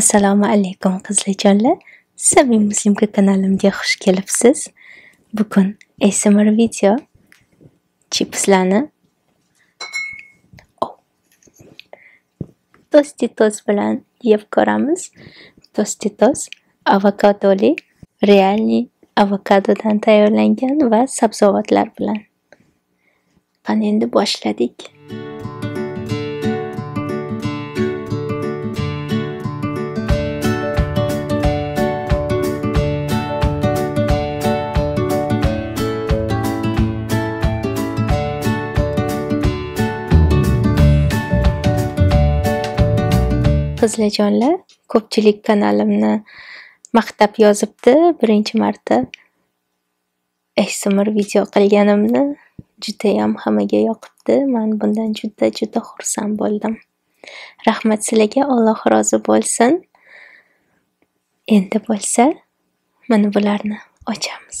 Assalomu alaykum qiziljonlar. Sabim Muslimka kanalimga xush kelibsiz. Bugun ASMR video chipslarni oh. Tostitos bilan yeb ko'ramiz. Tostitos avokadoli, realni avokadodan tayyorlangan va sabzavotlar bilan. Qani endi boshladik. Qizlar jonlar, ko'pchilik kanalimni maqtab yozibdi birinchi marta. ASMR video qilganimni juda ham hammaga yoqibdi. Men bundan juda-juda xursand bo'ldim. Rahmat sizlarga, Alloh rozi bo'lsin. Endi bo'lsa, mana bularni ochamiz.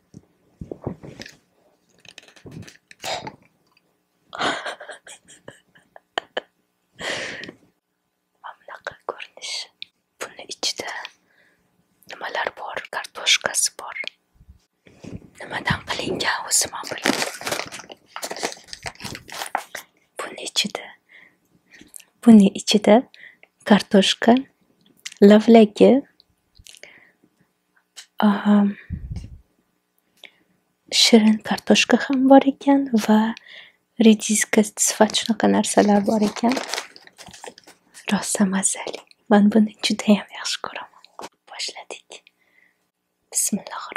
mamlaqa ko'rinishi buni ichida nimalar bor kartoshkasi bor nimadan qilingan o'zim ham bilmayman buni ichida buni ichida kartoshka, lavlagi, shirin kartoshka ham bor ekan va rediska sifat shunaqa narsalar bor ekan. Rosa mazali. Man buni judayam yaxshi ko'raman. Boshladik. Bismillohir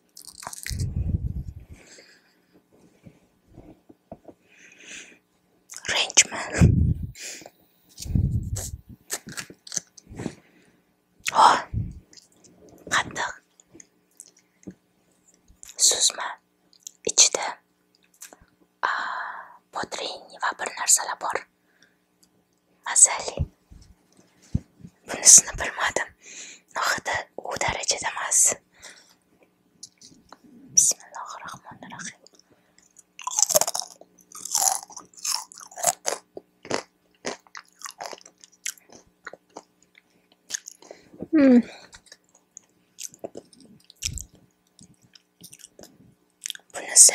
Rangeman. Oh, qattiq suzma ichida potrin va bir narsalar bor mazali bunisini bilmadim hidi u darajada emas bismillahi rohmanir rohim Hmm. Bunisi.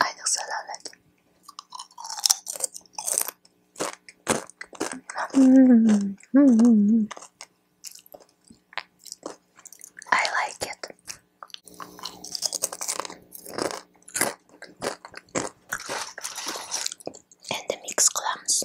I just love it. Mm -hmm. I like it. And the mixed clams.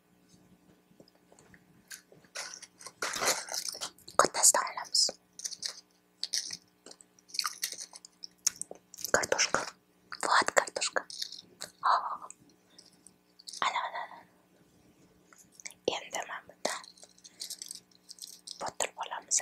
Кота Старлямс. Картошка. Вот картошка. Ana ana. Endi mana bunda botir olamiz.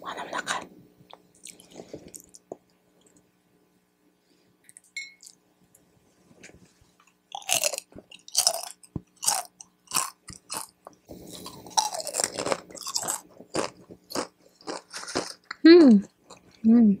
お花も高いうんうん、い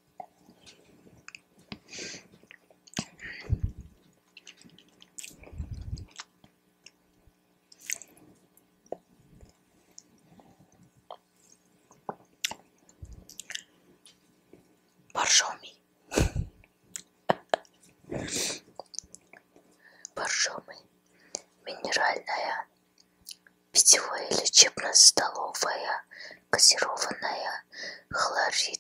Боржоми. Боржоми. Минеральная, питьевая, лечебно-столовая, газированная, хлорид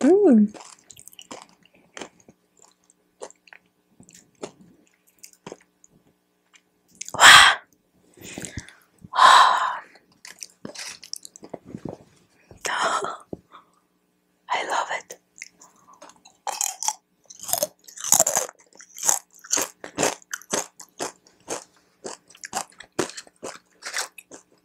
Mm. Wow. Oh. Oh. I love it.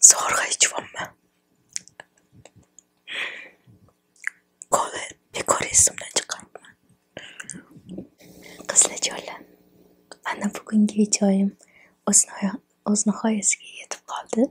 Zorga içiyorum Kolu bekor esimden çıkartman. Qizlar ana bugungi videoyim o'z nihoyasiga yetib qoldi.